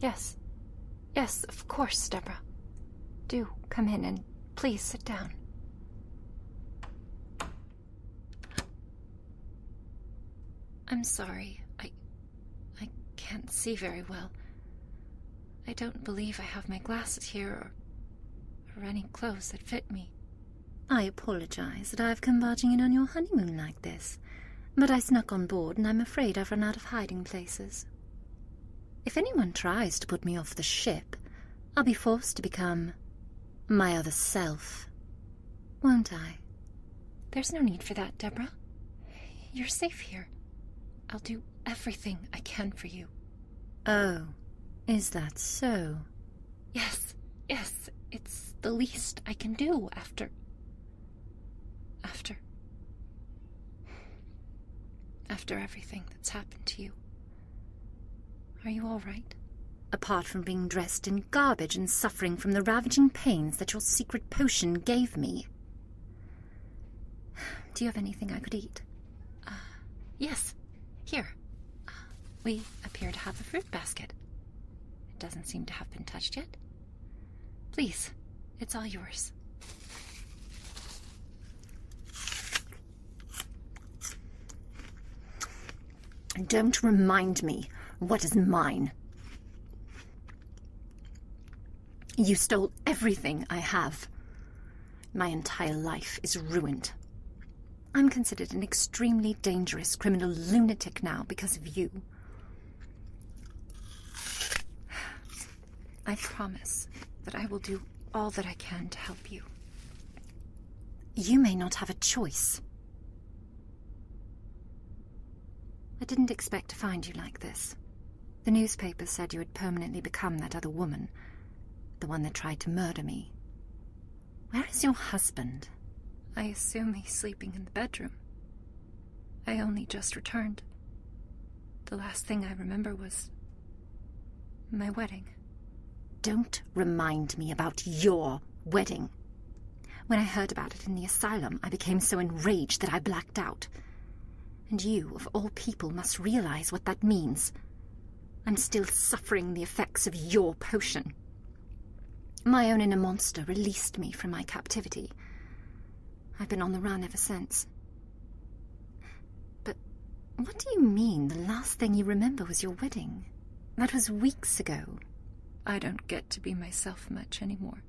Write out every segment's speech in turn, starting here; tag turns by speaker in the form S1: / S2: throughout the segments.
S1: Yes. Yes, of course, Deborah. Do come in and please sit down. I'm sorry. I I can't see very well. I don't believe I have my glasses here or, any clothes that fit me. I apologize that I've come barging in on your honeymoon like this, but I snuck on board and I'm afraid I've run out of hiding places. If anyone tries to put me off the ship, I'll be forced to become my other self, won't I? There's no need for that, Deborah. You're safe here. I'll do everything I can for you. Oh, is that so? Yes, yes, it's the least I can do after. after. after everything that's happened to you. Are you all right? Apart from being dressed in garbage and suffering from the ravaging pains that your secret potion gave me. Do you have anything I could eat? Uh, yes, here. we appear to have a fruit basket. It doesn't seem to have been touched yet. Please, it's all yours. Don't remind me what is mine. You stole everything I have. My entire life is ruined. I'm considered an extremely dangerous criminal lunatic now because of you. I promise that I will do all that I can to help you. You may not have a choice. I didn't expect to find you like this. The newspapers said you had permanently become that other woman, the one that tried to murder me. Where is your husband? I assume he's sleeping in the bedroom. I only just returned. The last thing I remember was my wedding. Don't remind me about your wedding. When I heard about it in the asylum, I became so enraged that I blacked out and you, of all people, must realize what that means. I'm still suffering the effects of your potion. My own inner monster released me from my captivity. I've been on the run ever since. But what do you mean the last thing you remember was your wedding? That was weeks ago. I don't get to be myself much anymore.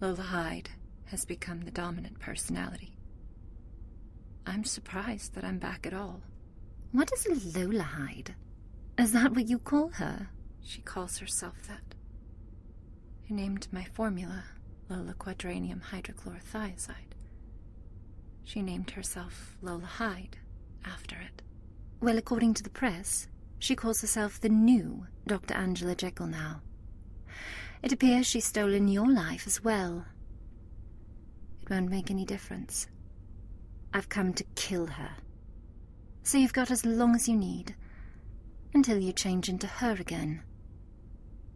S1: Lola Hyde has become the dominant personality. I'm surprised that I'm back at all. What is a Lola Hyde? Is that what you call her? She calls herself that. I named my formula Lola Quadranium Hydrochlorothiazide. She named herself Lola Hyde after it. Well, according to the press, she calls herself the new Dr. Angela Jekyll now. It appears she's stolen your life as well. It won't make any difference. I've come to kill her. So you've got as long as you need, until you change into her again.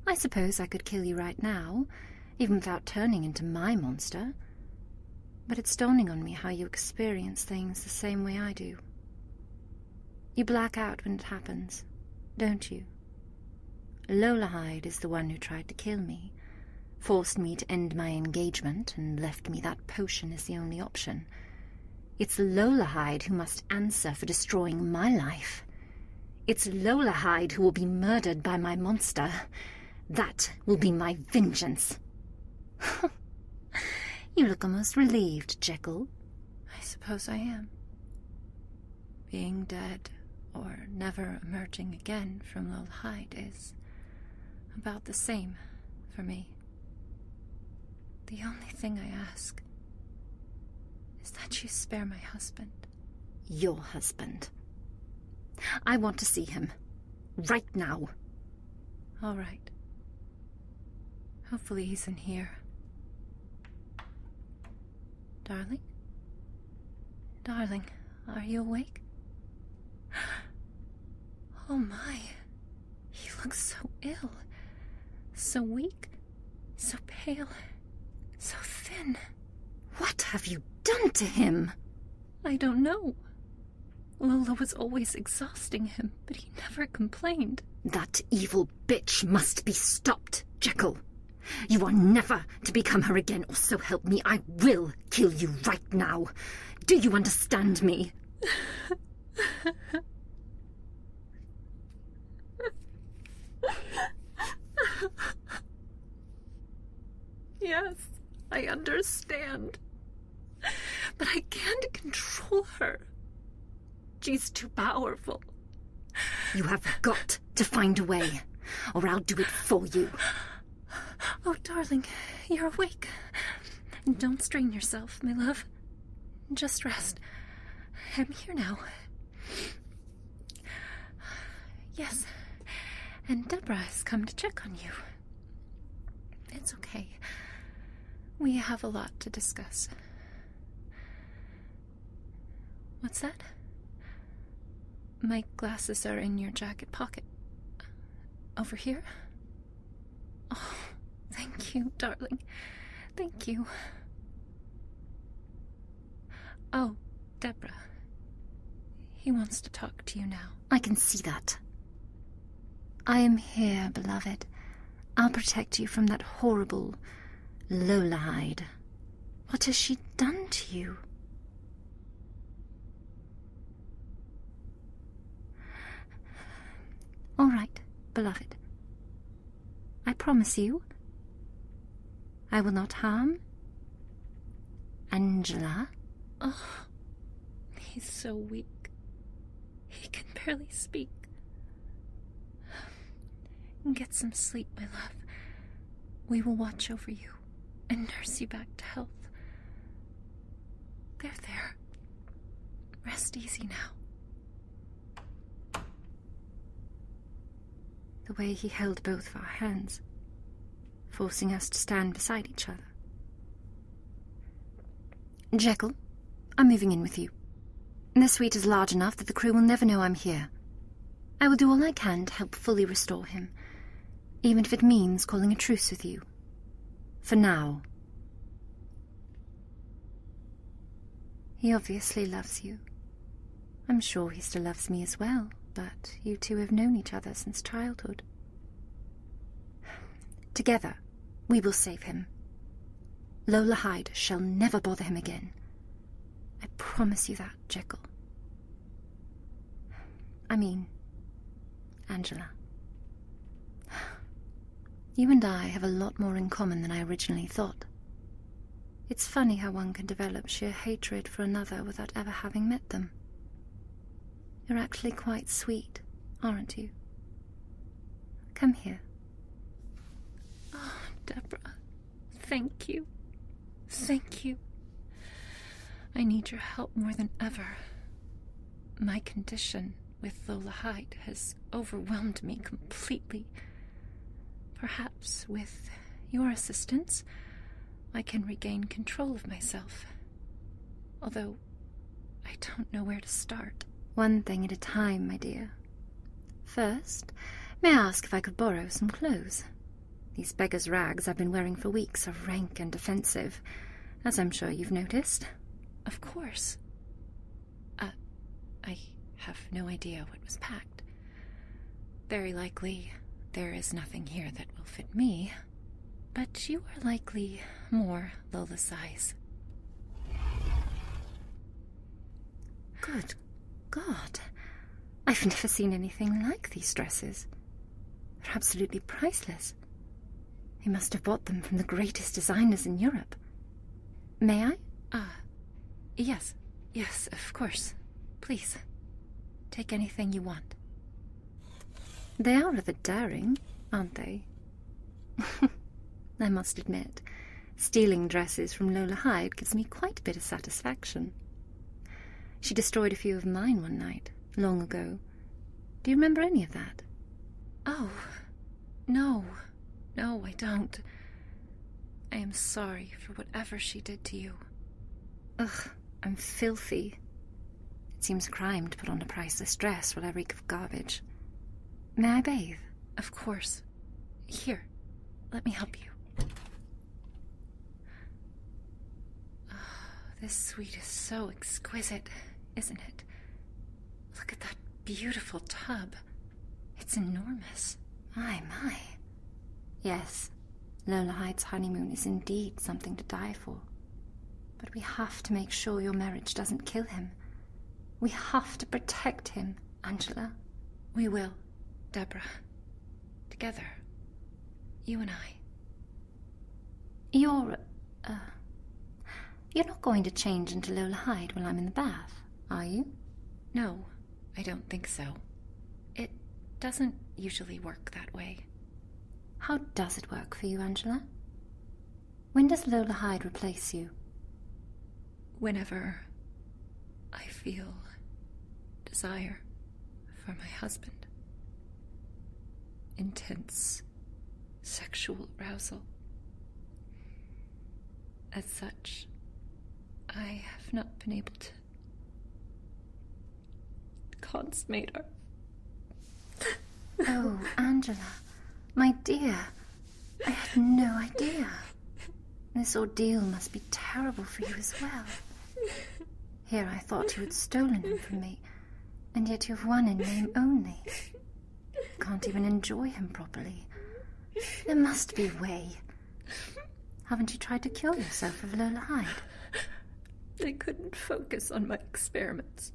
S1: I suppose I could kill you right now, even without turning into my monster. But it's dawning on me how you experience things the same way I do. You black out when it happens, don't you? Lola Hyde is the one who tried to kill me, forced me to end my engagement, and left me that potion as the only option. It's Lola Hyde who must answer for destroying my life. It's Lola Hyde who will be murdered by my monster. That will be my vengeance. you look almost relieved, Jekyll. I suppose I am. Being dead or never emerging again from Lil Hyde is about the same for me. The only thing I ask is that you spare my husband. Your husband. I want to see him. Right now. All right. Hopefully he's in here. Darling? Darling, are you awake? Oh my. He looks so ill. So weak. So pale. So thin. What have you done to him? I don't know. Lola was always exhausting him, but he never complained. That evil bitch must be stopped, Jekyll. You are never to become her again, or so help me, I will kill you right now. Do you understand me? yes, I understand. But I can't control her. She's too powerful. You have got to find a way, or I'll do it for you. Oh, darling, you're awake. Don't strain yourself, my love. Just rest. I'm here now. Yes, and Deborah has come to check on you. It's okay. We have a lot to discuss. What's that? My glasses are in your jacket pocket. Over here? Oh, thank you, darling. Thank you. Oh, Deborah. He wants to talk to you now. I can see that. I am here, beloved. I'll protect you from that horrible Lola Hide. What has she done to you? All right, beloved. I promise you I will not harm Angela. Oh, he's so weak. He can barely speak. Get some sleep, my love. We will watch over you and nurse you back to health. There, there. Rest easy now. The way he held both of our hands, forcing us to stand beside each other, Jekyll, I'm moving in with you. The suite is large enough that the crew will never know I'm here. I will do all I can to help fully restore him, even if it means calling a truce with you. For now. He obviously loves you. I'm sure he still loves me as well, but you two have known each other since childhood. Together, we will save him. Lola Hyde shall never bother him again. I promise you that, Jekyll. I mean, Angela. You and I have a lot more in common than I originally thought. It's funny how one can develop sheer hatred for another without ever having met them. You're actually quite sweet, aren't you? Come here. Oh, Deborah, thank you. Thank you. I need your help more than ever. My condition with Lola Hyde has overwhelmed me completely. Perhaps with your assistance, I can regain control of myself. Although I don't know where to start. One thing at a time, my dear. First, may I ask if I could borrow some clothes? These beggar's rags I've been wearing for weeks are rank and offensive, as I'm sure you've noticed. Of course. Uh, I have no idea what was packed. Very likely, there is nothing here that will fit me but you are likely more Lola size. Good God, I've never seen anything like these dresses. They're absolutely priceless. They must have bought them from the greatest designers in Europe. May I? Ah, yes, yes, of course. Please, take anything you want. They are rather daring, aren't they? I must admit, stealing dresses from Lola Hyde gives me quite a bit of satisfaction. She destroyed a few of mine one night, long ago. Do you remember any of that? Oh, no. No, I don't. I am sorry for whatever she did to you. Ugh, I'm filthy. It seems a crime to put on a priceless dress while I reek of garbage. May I bathe? Of course. Here, let me help you. this suite is so exquisite, isn't it? Look at that beautiful tub. It's enormous. My, my. Yes, Lola Hyde's honeymoon is indeed something to die for. But we have to make sure your marriage doesn't kill him. We have to protect him, Angela. We will, Deborah. Together. You and I. You're... Uh, you're not going to change into Lola Hyde while I'm in the bath, are you? No, I don't think so. It doesn't usually work that way. How does it work for you, Angela? When does Lola Hyde replace you? Whenever I feel desire for my husband. Intense sexual arousal. As such, I have not been able to consummate our Oh, Angela, my dear, I had no idea. This ordeal must be terrible for you as well. Here I thought you had stolen him from me, and yet you have one in name only. Can't even enjoy him properly. There must be a way. Haven't you tried to kill yourself with Lola Hyde? I couldn't focus on my experiments.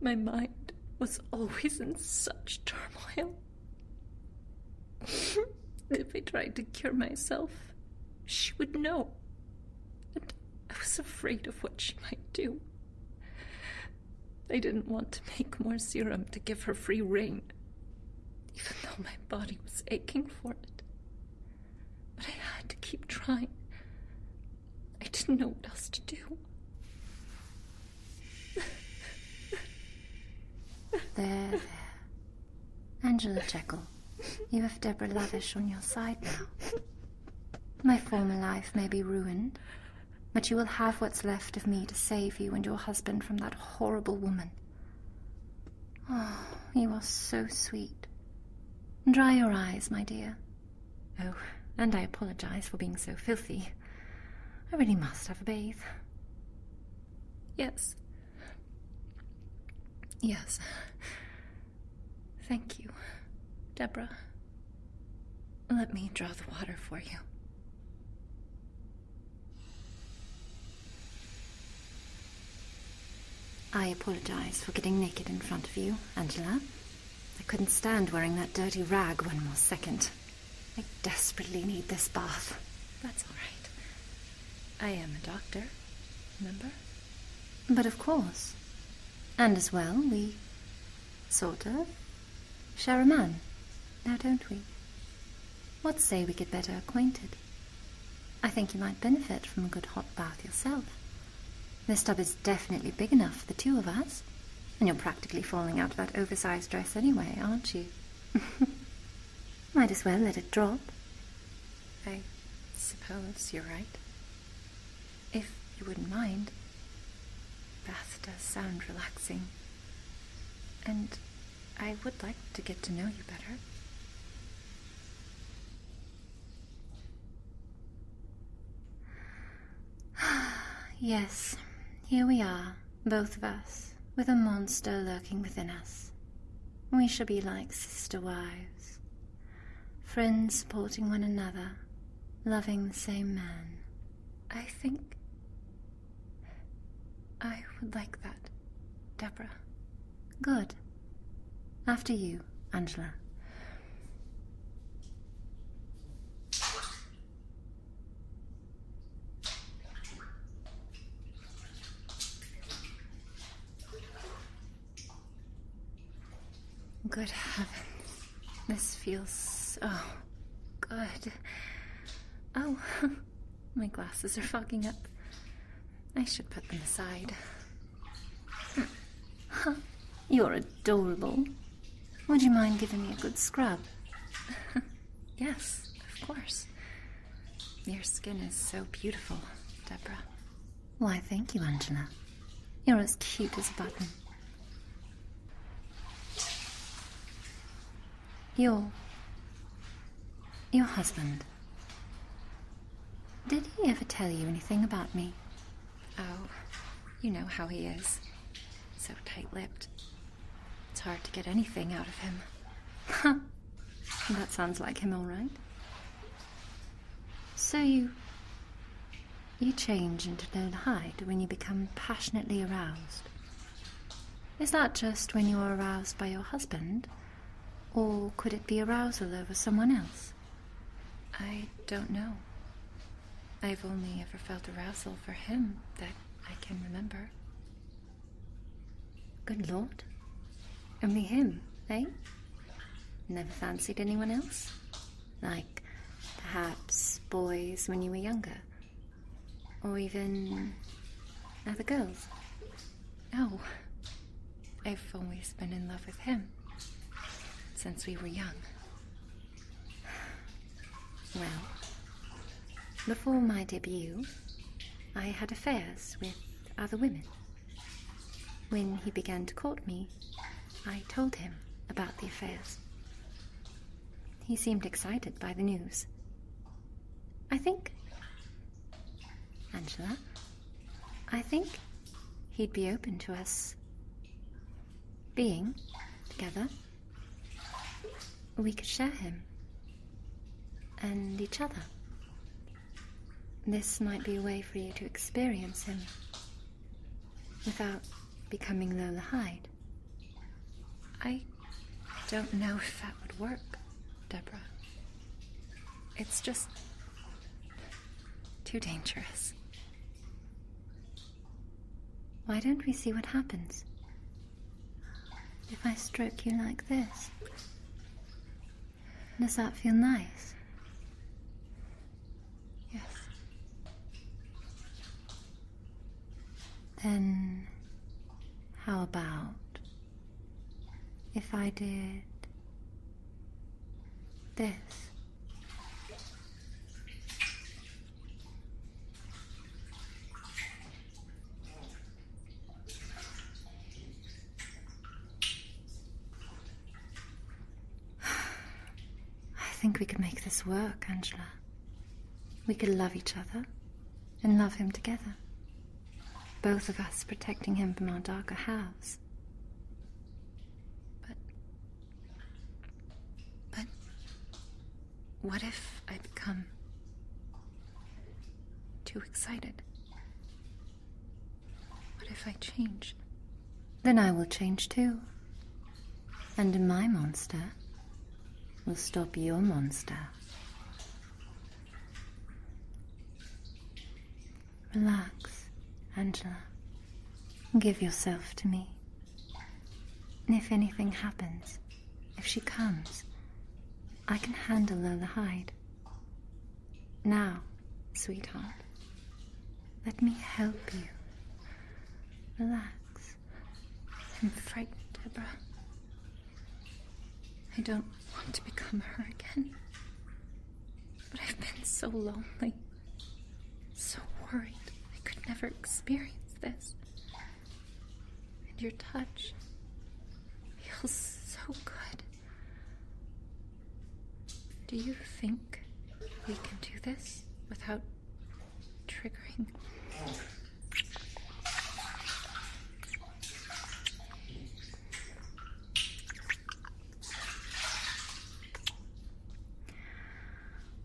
S1: My mind was always in such turmoil. if I tried to cure myself, she would know. And I was afraid of what she might do. I didn't want to make more serum to give her free rein, even though my body was aching for it. But I had to keep trying I didn't know what else to do. There, there. Angela Jekyll, you have Deborah Lavish on your side now. My former life may be ruined, but you will have what's left of me to save you and your husband from that horrible woman. Oh, you are so sweet. Dry your eyes, my dear. Oh, and I apologize for being so filthy. I really must have a bath. Yes. Yes. Thank you, Deborah. Let me draw the water for you. I apologize for getting naked in front of you, Angela. I couldn't stand wearing that dirty rag one more second. I desperately need this bath. That's all right. I am a doctor, remember? But of course. And as well, we sort of share a man, now don't we? What say we get better acquainted? I think you might benefit from a good hot bath yourself. This tub is definitely big enough for the two of us. And you're practically falling out of that oversized dress anyway, aren't you? Might as well let it drop. I suppose you're right. If you wouldn't mind, bath does sound relaxing. And I would like to get to know you better. yes, here we are, both of us, with a monster lurking within us. We shall be like sister wives, friends supporting one another, loving the same man. I think I would like that, Deborah. Good. After you, Angela. Good heavens. This feels so good. Oh, my glasses are fogging up. I should put them aside. Huh, You're adorable. Would you mind giving me a good scrub? yes, of course. Your skin is so beautiful, Deborah. Why, thank you, Angela. You're as cute as a button. Your. your husband. Did he ever tell you anything about me? Oh, you know how he is. So tight lipped. It's hard to get anything out of him. that sounds like him, all right. So you. You change into don't hide when you become passionately aroused. Is that just when you are aroused by your husband? Or could it be arousal over someone else? I don't know. I've only ever felt arousal for him that I can remember. Good lord. Only him, eh? Never fancied anyone else? Like, perhaps boys when you were younger? Or even other girls? No. I've always been in love with him. Since we were young. Well, before my debut, I had affairs with other women. When he began to court me, I told him about the affairs. He seemed excited by the news. I think Angela, I think he'd be open to us being together. We could share him and each other. This might be a way for you to experience him without becoming Lola Hyde. I don't know if that would work, Deborah. It's just too dangerous. Why don't we see what happens? If I stroke you like this, does that feel nice? Yes. Then, how about if I did this. I think we could make this work, Angela. We could love each other and love him together. Both of us protecting him from our darker halves. But. But. What if I become. too excited? What if I change? Then I will change too. And my monster will stop your monster. Relax, Angela. Give yourself to me. And if anything happens, if she comes, I can handle Lola Hyde. Now, sweetheart, let me help you. Relax. I'm frightened, Deborah. I don't want to become her again. But I've been so lonely, so worried I could never experience this. And your touch feels so good. Do you think we can do this without triggering?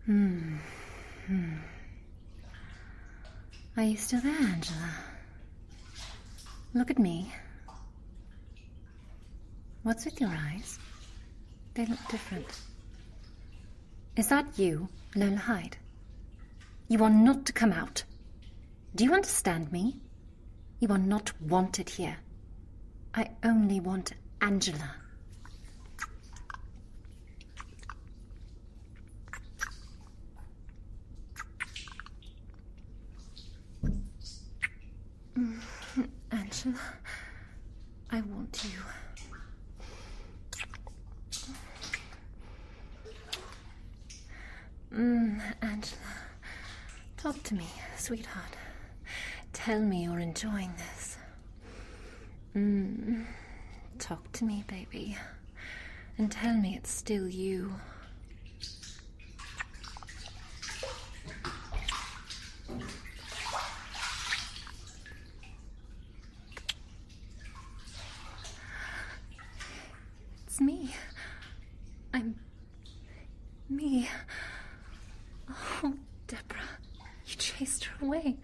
S1: Hmm. Hmm. Are you still there, Angela? Look at me. What's with your eyes? They look different. Is that you, Lola Hyde? You are not to come out. Do you understand me? You are not wanted here. I only want Angela. Mm, Angela, I want you. Mm, Angela. Talk to me, sweetheart. Tell me you're enjoying this. Mm. Talk to me, baby. And tell me it's still you. It's me. I'm. me. Oh, Deborah, you chased her away.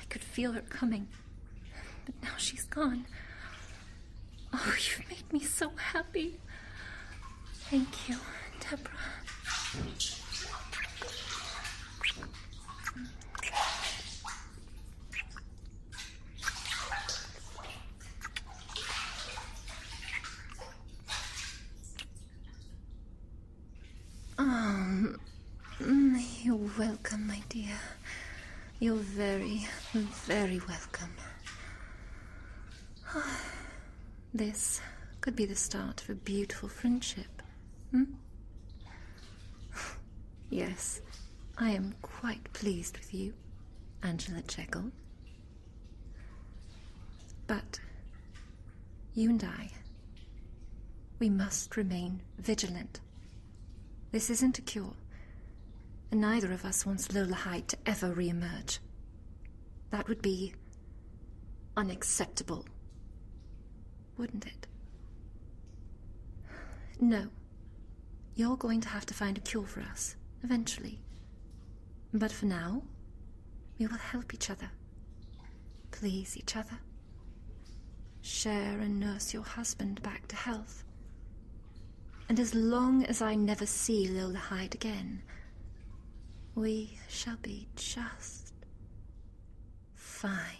S1: I could feel her coming, but now she's gone. Oh, you've made me so happy. Thank you, Deborah. Um, you're welcome, my dear. You're very, very welcome. This could be the start of a beautiful friendship. Hmm? Yes, I am quite pleased with you, Angela Jekyll. But you and I, we must remain vigilant. This isn't a cure, and neither of us wants Lola Hyde to ever re-emerge. That would be unacceptable, wouldn't it? No. You're going to have to find a cure for us, eventually. But for now, we will help each other, please each other, share and nurse your husband back to health. And as long as I never see Lola Hyde again, we shall be just fine.